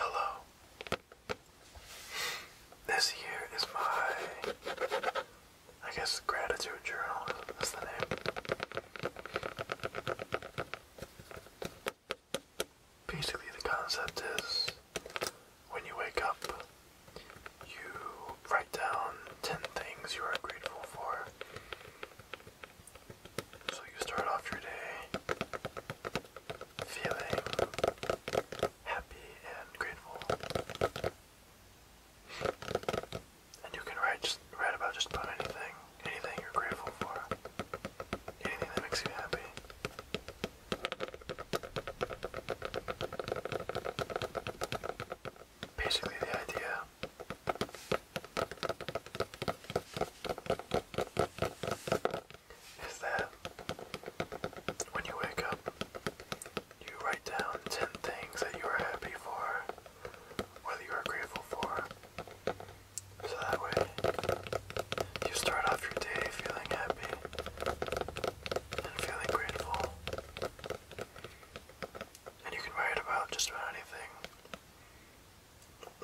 Hello. This here is my, I guess, gratitude journal. That's the name. Basically, the concept is when you wake up, you write down 10 things you are grateful for. So you start off your day feeling happy and grateful. And you can write, just, write about just about anything anything you're grateful for, anything that makes you happy. Basically, the idea is that when you wake up, you write down 10 things that you are happy for, whether you are grateful for, so that way you start off your day feeling happy and feeling grateful. And you can write about just about anything.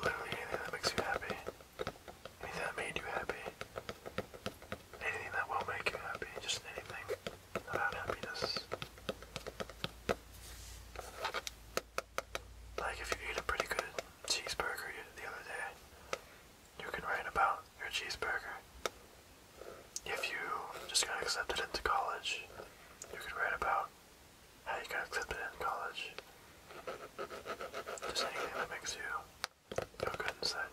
Literally anything that makes you happy. Anything that made you happy. Anything that will make you happy. Just anything about happiness. Like if you eat a pretty good cheeseburger the other day. You can write about your cheeseburger. If you just got accepted into college, you could write about how you got accepted into college. Just anything that makes you feel good inside.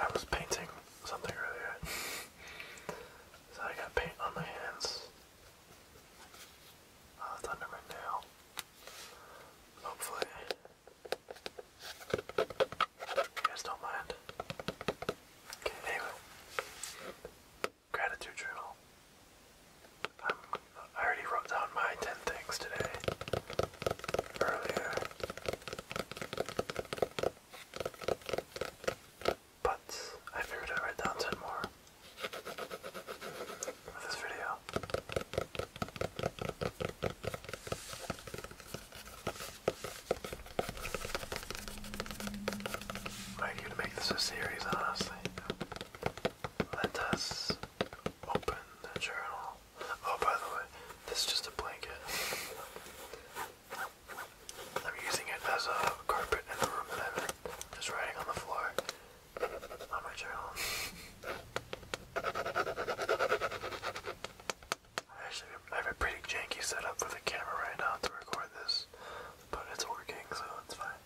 I was painting something earlier, so I got paint on my hands. Uh, it's under my nail. Hopefully, you guys don't mind. Okay, anyway, gratitude journal. I already wrote down my 10 things today earlier. But I figured I'd write down 10 more for this video. Might even make this a series, honestly. Let us open the journal Oh, by the way, this is just a blanket. I'm using it as a carpet in the room that I'm Just writing on the floor on my journal. I actually I have a pretty janky setup for the camera right now to record this, but it's working, so it's fine.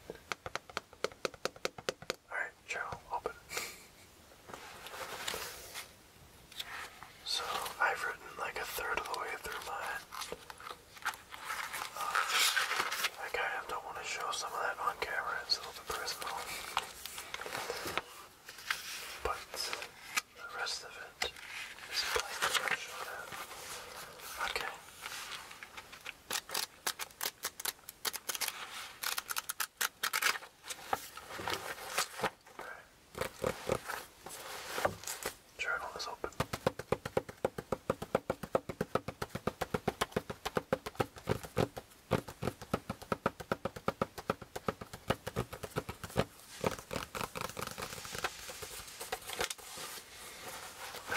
Alright, Alright, Joe, open. So I've written like a third of the way through mine. Uh, I don't want to show some of that on camera, it's a little bit personal. But the rest of it is plain to show that. Okay. Journal is open. That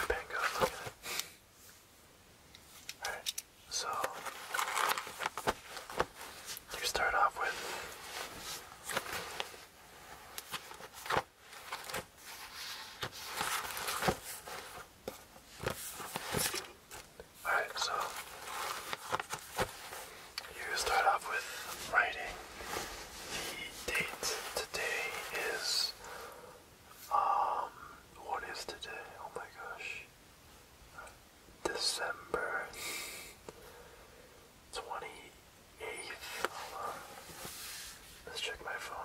pen goes, look at it. Alright. So you start off with all right, so you start off with writing the date. Today is um, what is today? Oh my gosh. December 28th. Let's check my phone.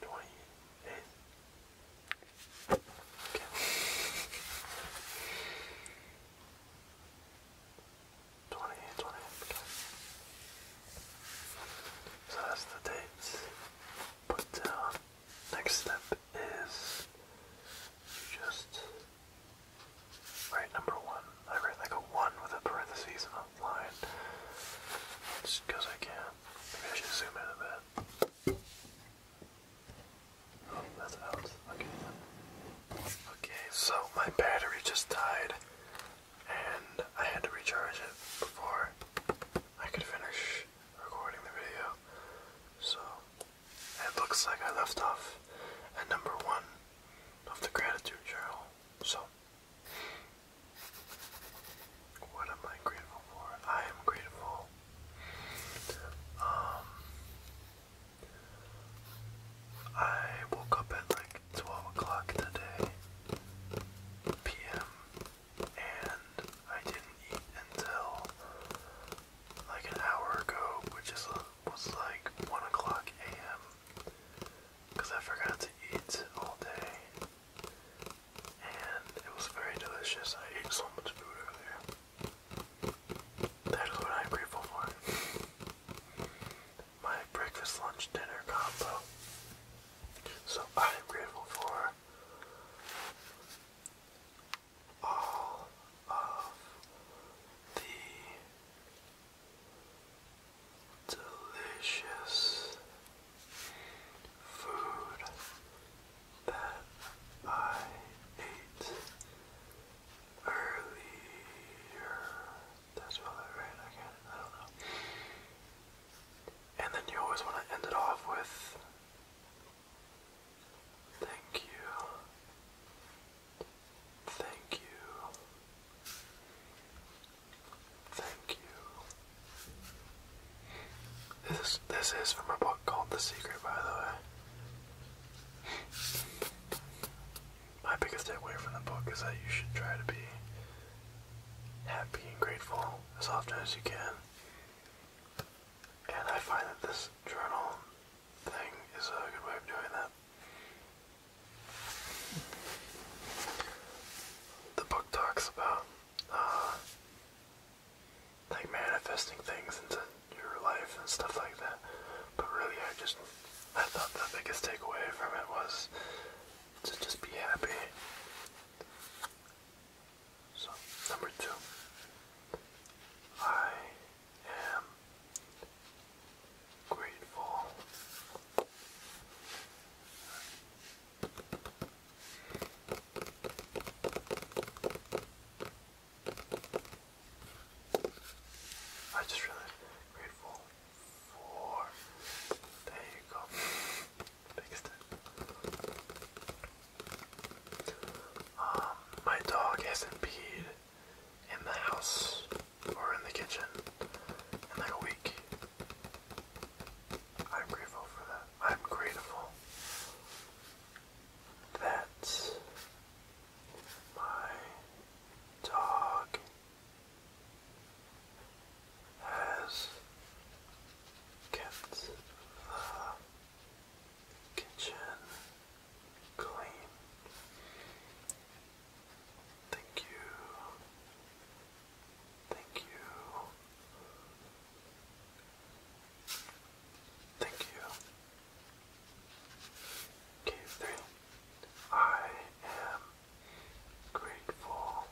28th. Okay. Twenty, twenty. Okay. So that's the dates put down next step is just write number one. I write like a one with a parentheses and Just because I can. Maybe I should zoom in a bit. Oh, that's out. Okay. Okay, so my battery just died and I had to recharge it before I could finish recording the video. So, it looks like I left off at number one of the gratitude journal. So, what am I grateful for? I am grateful. Um, I woke up at like 12 o'clock today, p.m., and I didn't eat until like an hour ago, which is was like one o'clock a.m. because I forgot to eat all day, and it was very delicious. I ate so much food earlier. That is what I'm grateful for. My breakfast, lunch, dinner combo. So I'm grateful for all of the delicious food that I ate earlier. That's probably I can't, I don't know. And then you always want to end it off with thank you. Thank you. Thank you. This this is from a book called The Secret, by the way. My biggest takeaway from the book is that you should try to be happy and grateful as often as you can. And I find that this journal thing is a good way of doing that. The book talks about uh, like manifesting things into your life and stuff like that. But really, I just I thought the biggest takeaway from it was to just be happy. So, number two, I am grateful I just really grateful for there you go my dog hasn't peed in the house or in the kitchen in like a week. I'm grateful for that. I'm grateful that my dog has kept the kitchen clean. Thank you. Thank you. Thank you. K3. I am grateful.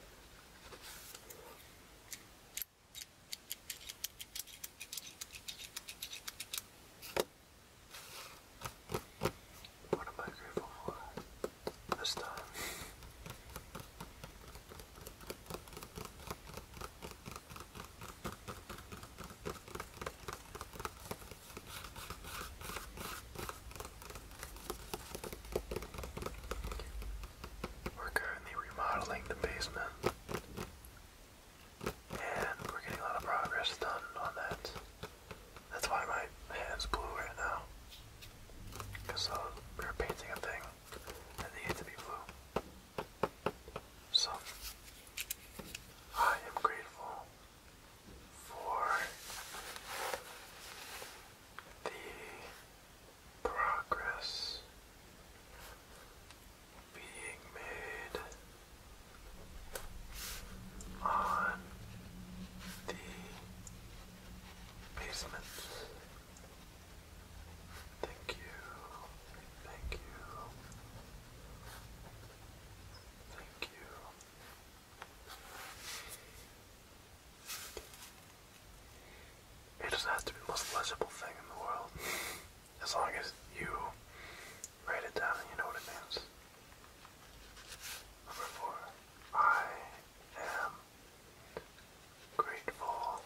What am I grateful for this time? We're currently remodeling the basement, and we're getting a lot of progress done on that. That's why my hand's blue right now, because we uh, were painting a thing that needed to be blue. So, I am grateful for the progress being made on the basement. Thank you, thank you, thank you. It just has to be the most legible thing in the world. as long as you write it down and you know what it means. Number four. I am grateful.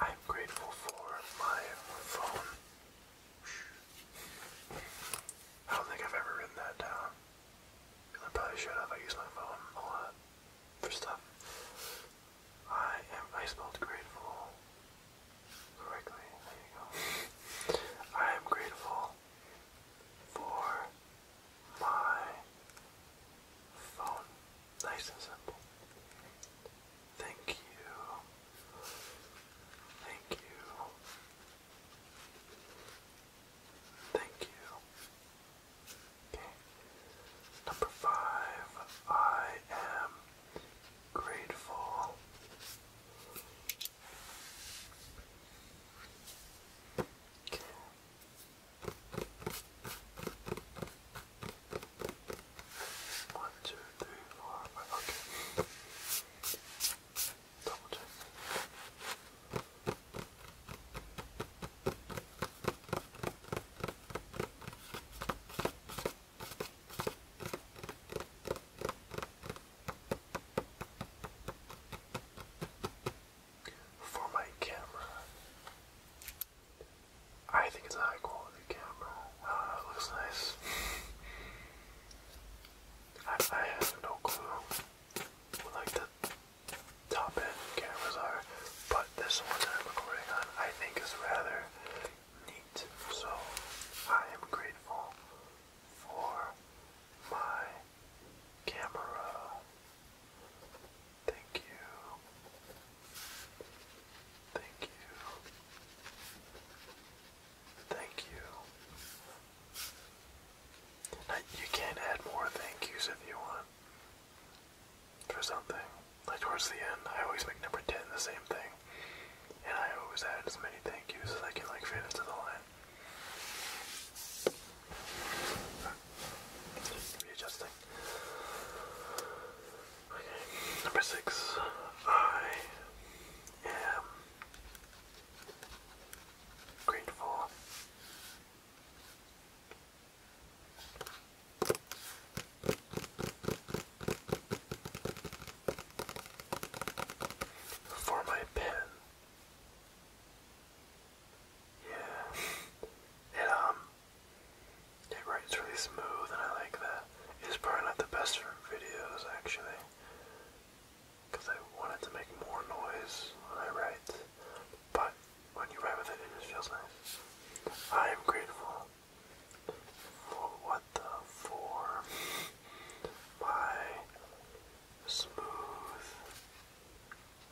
I am grateful for my phone. I don't think I've ever written that down. I probably should have. I use my phone a lot for stuff. I am. I grateful correctly. There you go. I am grateful for my phone. Nice and simple. Thank you. Thank you. Thank you. Okay. Number five, I am grateful. Okay. One, two, three, four, five. Okay. For my camera, I think it's a high quality camera. Uh, it looks nice. I have no clue like the top end cameras are, but this one I'm recording on I think is rather neat. So I am grateful for my camera. Thank you. Thank you. Thank you you can add more thank yous if you want for something. Like towards the end, I always make number 10 the same thing. And I always add as many thank yous as I can like fit into the line. Readjusting. Okay. Number six. I am grade four. For my pen. Yeah. It um it writes really smooth and I like that. It's probably not the best for videos actually because I wanted to make more noise when I write, but when you write with it, it just feels nice. I am grateful for what the for my smooth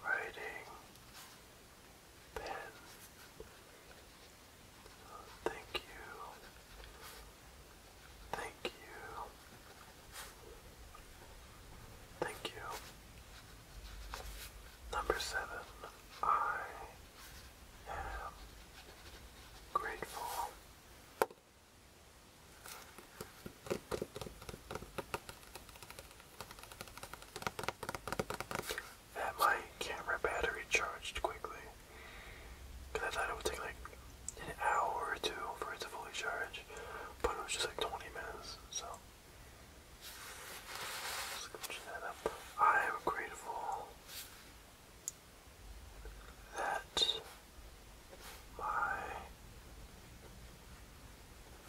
writing pen. Thank you. Thank you. Thank you. Number seven, I am grateful. That my camera battery charged quickly. Because I thought it would take like an hour or two for it to fully charge, but it was just like 20 minutes, so. I am grateful that my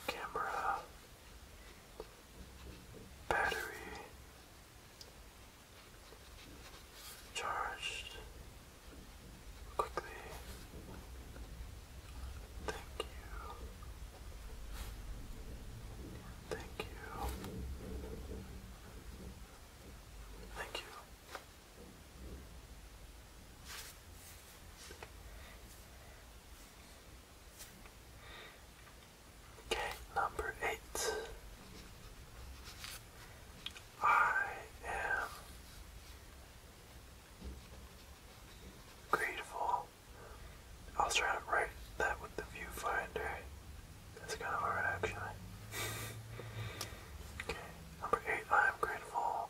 camera battery charged quickly. Thank you. Thank you. Thank you. Okay, number eight. I am grateful. I'll try to write that with the viewfinder. That's kind of hard actually. okay, number eight, I am grateful.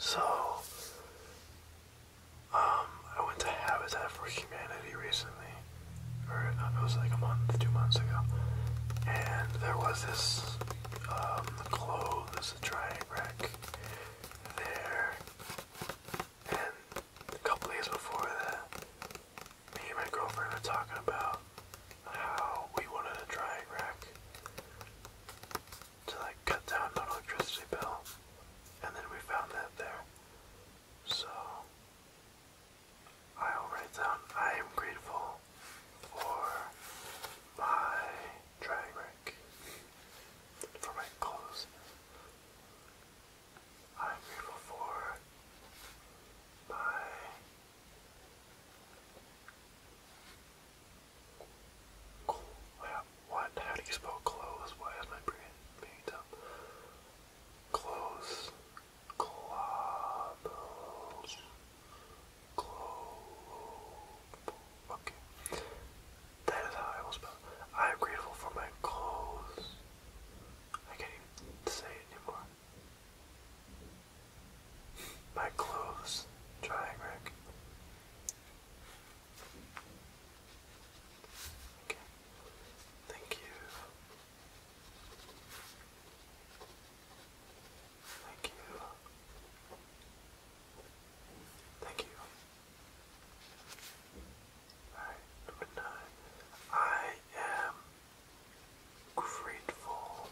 So, um, I went to Habitat for Humanity recently, or it was like a month, two months ago, and there was this clothes drying rack there, and a couple days before that, me and my girlfriend are talking about how we wanted a drying rack to like cut down on electricity bill, and then we found that there. So I'll write down I am grateful for my drying rack for my clothes. I'm grateful for my cool. Oh, what? How do you spell clothes? Why is my brain being dumb? Close. Globals. Globe. Okay. That is how I will spell. I am grateful for my clothes. I can't even say it anymore. My clothes drying rack. Okay. Thank you. Thank you. Thank you. Alright, number nine. I am grateful.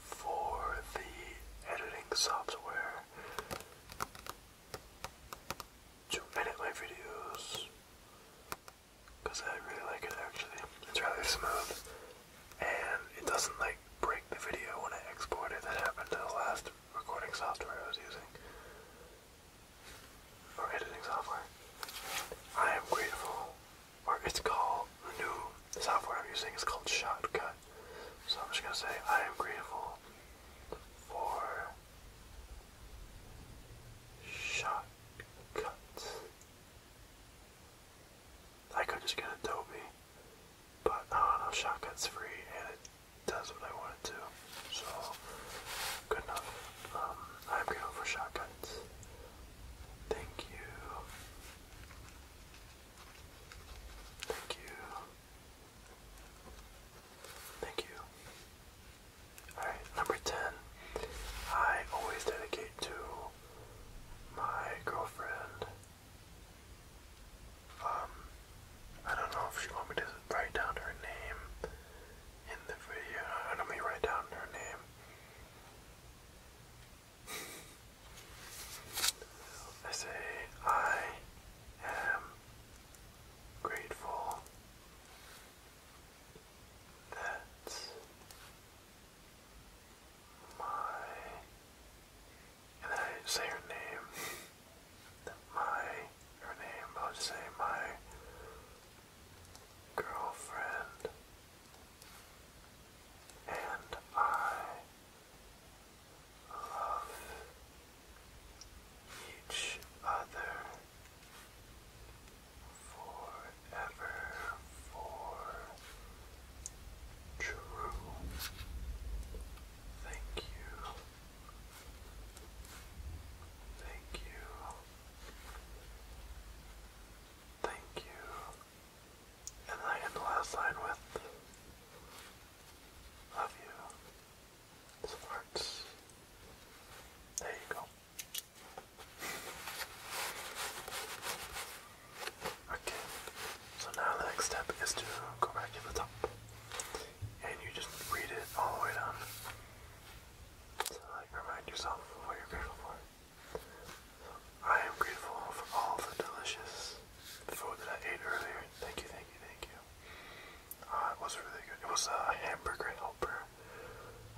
For the editing software to edit my videos, because I really like it actually. It's rather smooth, and it doesn't like break the video when I export it. That happened to the last recording software I was using, or editing software. I am grateful, for. it's called, the new software I'm using is called Shotcut. So I'm just going to say I am grateful for Shotcut. I could just get Adobe but I uh, don't shotgun's free and it does what I want it to. So good enough. Um, I'm grateful for shotguns. Thank you. Thank you. Thank you. Alright, number 10. I always dedicate to my girlfriend um, I don't know if she want me to write down her name in the video. I don't mean write down her name. I say I am grateful that my and I say her name, my, her name, i say my girlfriend, and I love each other forever for true Thank you. Thank you. Thank you. And I end the last line with Love you. Sparks. There you go. Okay, so now the next step is to go back to the top and you just read it all the way down. like, remind yourself what you're grateful for. I am grateful for all the delicious food that I ate earlier. Thank you, thank you, thank you. Uh, it was really good. It was a hamburger helper.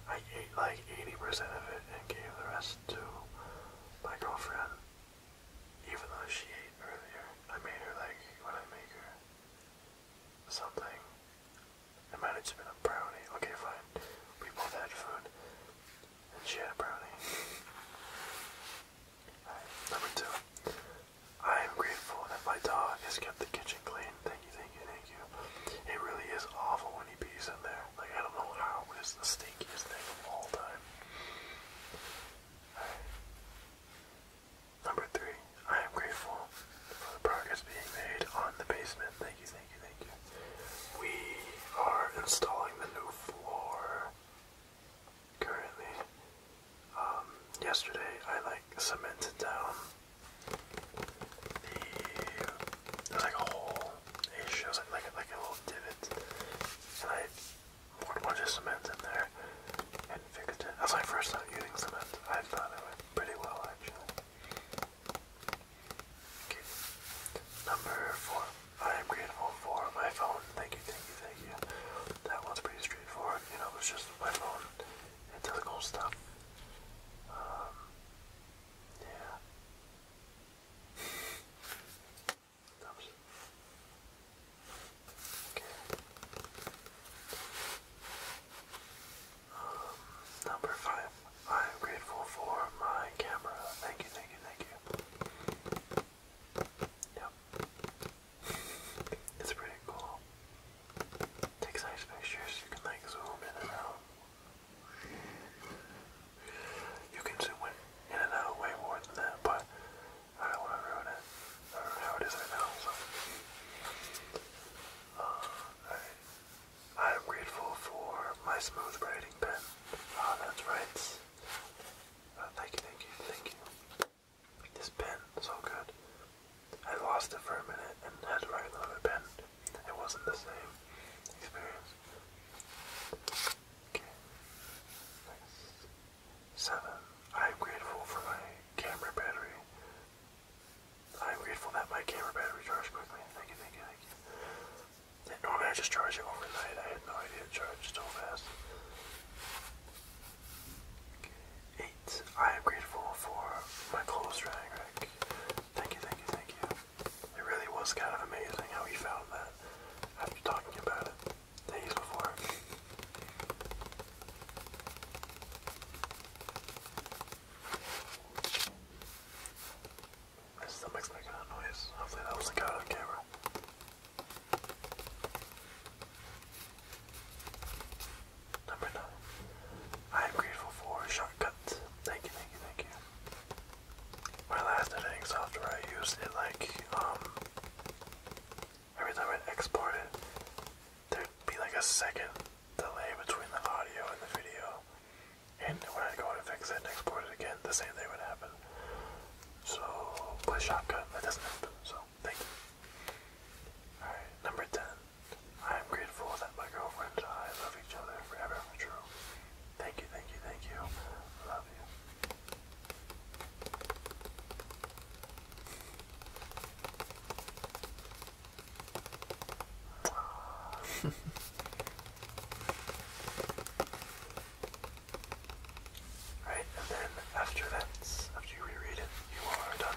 I ate like 80% of it and gave the rest to my girlfriend. Even though she ate earlier, I made her like when I make her something. It might have just been a brownie. Okay, fine. We both had food. And she had a brownie. Alright, number two. I am grateful that my dog has kept the kitchen clean. Thank you, thank you, thank you. It really is awful when he pees in there. Like, I don't know how, but it's the stinkiest thing of all time. Alright. Number three, I am grateful for the progress being made on the basement. Thank you, thank you, thank you. We are installing the new floor currently. Um, yesterday I like cemented down the like a hole. It shows like like a little divot, and I poured a cement in there and fixed first time using cement. I thought it went pretty well actually. Okay. Number four. I am grateful for my phone. Thank you, thank you, thank you. That one's pretty straightforward. You know, it's just my phone. and technical stuff. Um, yeah number five. I am grateful for my camera. Thank you, thank you, thank you. Yep. It's pretty cool. Takes nice pictures. You can like zoom in and out. You can zoom in and out way more than that, but I don't want to ruin it. I don't know how it is right now, so. Uh, I, I am grateful for my smooth writing pen. Ah, that's right. Uh, thank you, thank you, thank you. This pen, so good. I lost it for a minute and had to write another pen. It wasn't the same experience. Okay. Seven, I am grateful for my camera battery. I am grateful that my camera battery charged quickly. Thank you, thank you, thank you. And normally I just charge it overnight. I had no idea it charged so fast. Eight, I am grateful for my clothes drying rack. Thank you, thank you, thank you. It really was kind of amazing how we found that after talking about it days before. My stomach's making that noise. Hopefully that was the cat on camera. Number nine. I am grateful for shortcuts. Thank you, thank you, thank you. My last editing software I used it like um, every time I'd export it, there'd be like a second delay between the audio and the video. And when I'd go to fix it and export it again, the same thing would happen. So, play shotgun, that doesn't happen, so thank you. Alright, number 10. I am grateful that my girlfriend and I love each other forever for true. Thank you, thank you, thank you. Love you right, and then after that, after you reread it, you are done.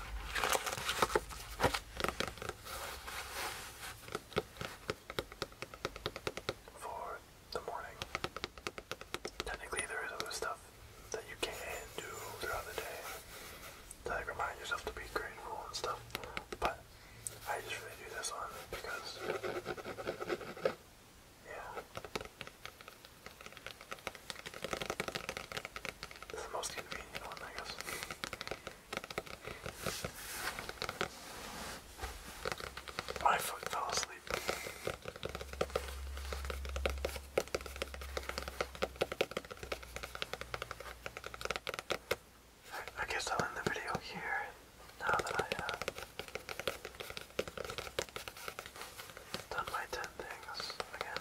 For the morning. Technically, there is other stuff that you can do throughout the day to like remind yourself to be grateful and stuff, but I just really do this on because, yeah, it's the most convenient one, I guess. My foot fell asleep. I guess I'll end the video here now that I have uh, done my 10 things again.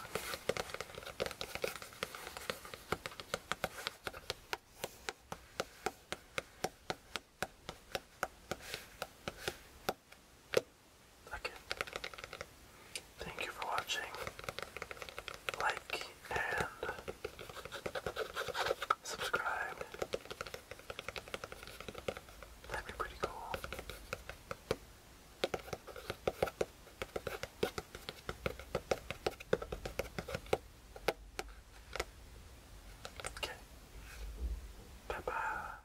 Okay. Thank you for watching. Like and subscribe. That'd be pretty cool. Okay. Bye bye.